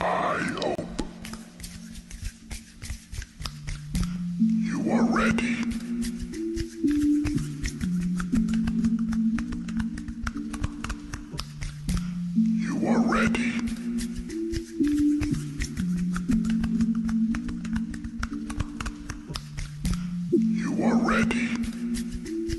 I hope you are ready. You are ready. You are ready.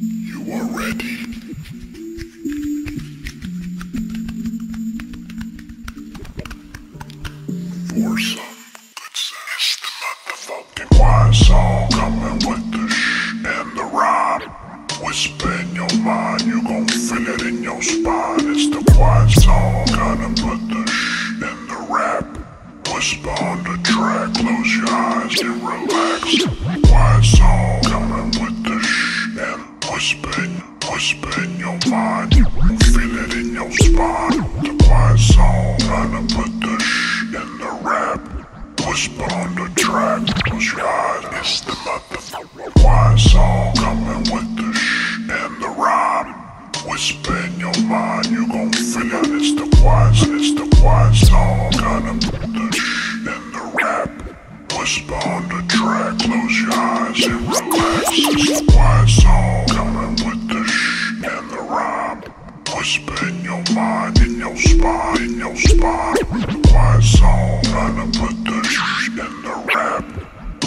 You are ready. For some good sense, the motherfucking wise all coming with the shh and the rhyme. Whisper in your mind, you gon' feel it in your spine. It's the quiet song, gonna put the shh in the rap. What's behind the track? Close your eyes and relax. Quiet song coming with the shh and whisper, whisper in your mind. You feel it in your spine. The quiet song trying to put the shh in the rap. Whisper on the track. Close your eyes. It's the mother. Quiet song coming with the shh and the rhyme. Whisper in your mind, you gon' feel it. It's the quiet, it's the quiet song. Gonna put the shh in the rap. Whisper on the track, close your eyes and relax. It's the quiet song. Coming with the shh and the rhyme. Whisper in your mind, in your spine, in your spine. The quiet song. Gonna put the shh in the rap.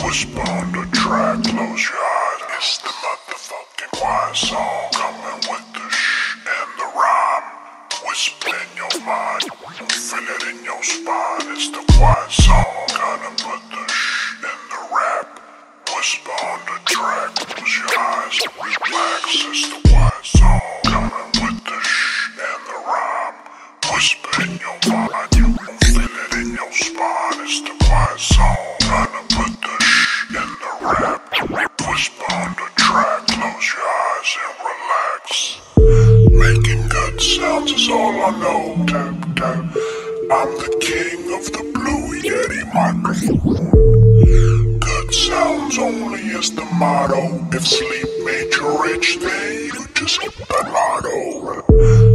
Whisper on the track, close your eyes. It's the motherfucker. Pumpkin Choir song coming with the sh and the rhyme. Whisper in your mind, feel it in your spine. It's the quiet song, gonna put the sh in the rap. Whisper on the track, close your eyes, relax. It's the quiet song, coming with the sh and the rhyme. Whisper in your mind, you Feeling in your spine is the quiet zone. Trying to put the shh in the rap. Whisper on the track, close your eyes and relax. Making good sounds is all I know. Tap, tap. I'm the king of the blue Yeti microphone. Good sounds only is the motto. If sleep made you rich, then you just hit the lotto.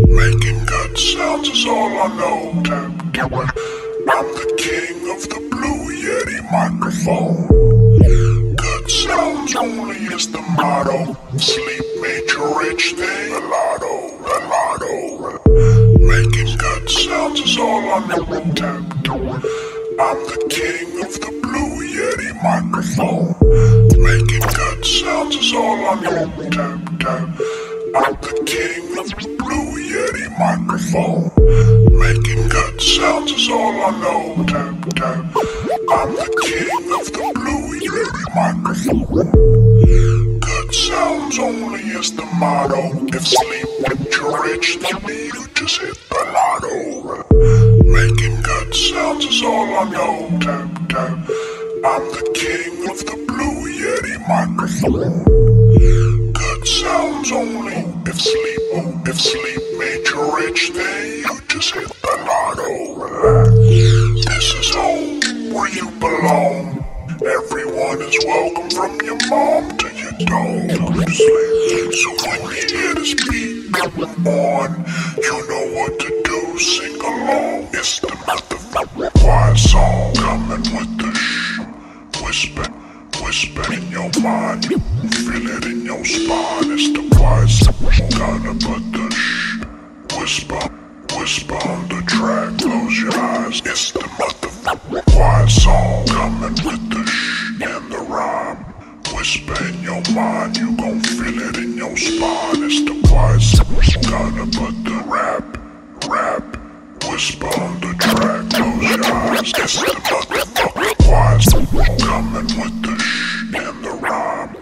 Making good sounds is all I know to do it. I'm the king of the Blue Yeti microphone. Good sounds only is the motto. Sleep made you rich, they lotto, lotto. Making good sounds is all I know to do it. I'm the king of the Blue Yeti microphone. Making good sounds is all I know tap, tap, the king of Blue Yeti microphone. Making good sounds is all I know. I'm the king of the Blue Yeti microphone. Good sounds only is the motto. If sleep makes you rich, then you just hit the lotto. Making good sounds is all I know. I'm the king of the Blue Yeti microphone. Good sounds only. If sleep, oh, if sleep made you rich, then you just hit the lotto. This is home where you belong. Everyone is welcome from your mom to your dog. So when you hear this beat on, you know what to do. Sing along soul. It's the motherfucking quiet soul. Coming with the shh. Whisper, whisper in your mind. Feel it in your spine. It's the quiet soul. Gonna put the shh. Whisper, whisper on the track. Close your eyes. It's the motherfucking quiet soul. Coming with the shh and the rhyme. Whisper in your mind, you gon' feel it in your spine. It's the wise, gotta put the rap, rap, whisper the track. Close your eyes, it's the wise. Coming with the shh and the rhyme.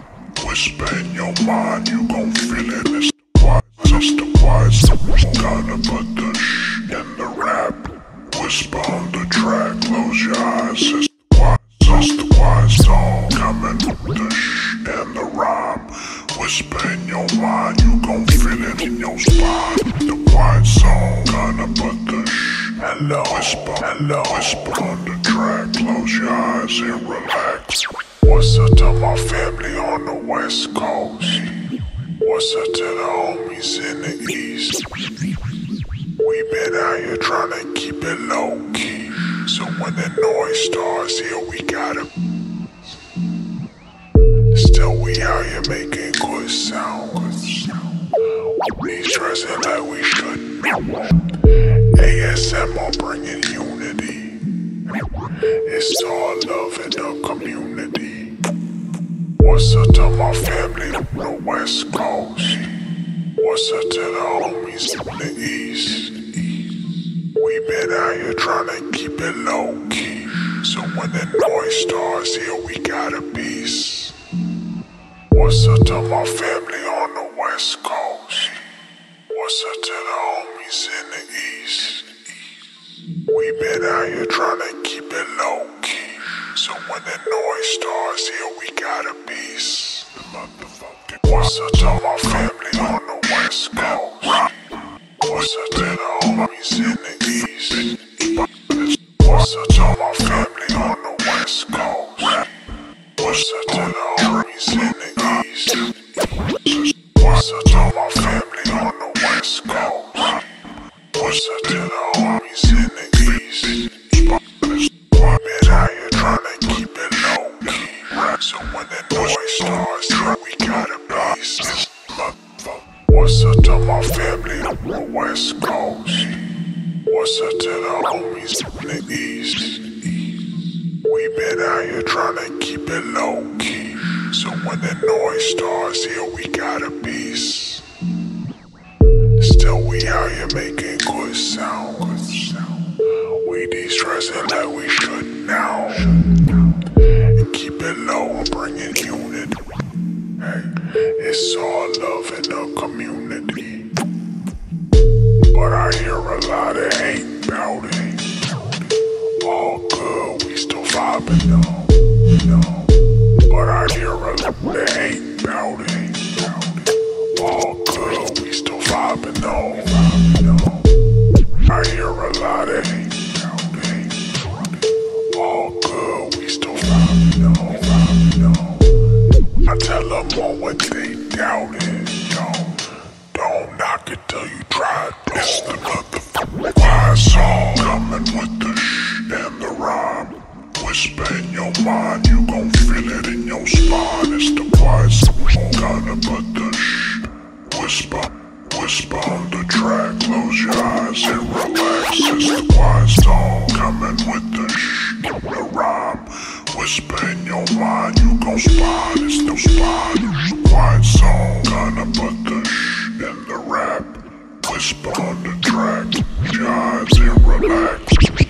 Whisper your mind, you gon' feel it. It's the wise, it's the wise. Gotta the shh and the rap. Whisper the track, close your eyes. Just the wise song coming the sh and the rhyme. Whisper in your mind, you gon' feel it in your spine. The wise song gonna put the shh. Hello, whisper, hello, whisper on the track. Close your eyes and relax. What's up to my family on the west coast? What's up to the homies in the east? We been out here trying to keep it low key. So when the noise starts, here we got him. Still we out here making good sounds. We stressing like we should. ASM ASMR bringing unity. It's all love in the community. What's up to my family from the west? What's up to the homies in the East? We been out here trying to keep it low key. So when the noise starts here, we got a piece. What's up to my family on the West Coast? What's up to the homies in the East? We been out here trying keep it low key. So when the noise starts here, we got a a piece. The motherfucking Once I told my family on the West Coast. Rock. Once I did the homies in the East. Once I told my family on the West Coast. Rock. Once I did the homies in the East. Once I told my family on the West Coast. Rock. Once I did the homies in the East. Pump it higher, tryna keep it low key. so when the noise starts, try we gotta blaze this What's up to my family on the West Coast? What's up to our homies in the East? We been out here tryna keep it low key. So when the noise starts, here we got a piece. Still we out here making good sound. Good sound. We de-stressing like we should now. And keep it low and bring it unit. Hey, it's all love in the community. But I hear a lot of hate about it. All good, we still vibing though. No, but I hear a lot of hate. All good, we still vibing on. I hear a lot of All good, we still vibing on. I tell them all what they doubting. Don't, don't knock it till you try it. It's the motherfucking wise song. Coming with the shh and the rhyme. Whisper in your mind, you gon' feel it in your spine. It's the wise kinda but the shh. Whisper, whisper on the track. Close your eyes and relax. It's the wise tone coming with the shh. The rhyme. Whisper in your mind, you gon' spine. It's the spine. Quiet song kinda but the shh in the rap. Whisper on the track, jives and relax.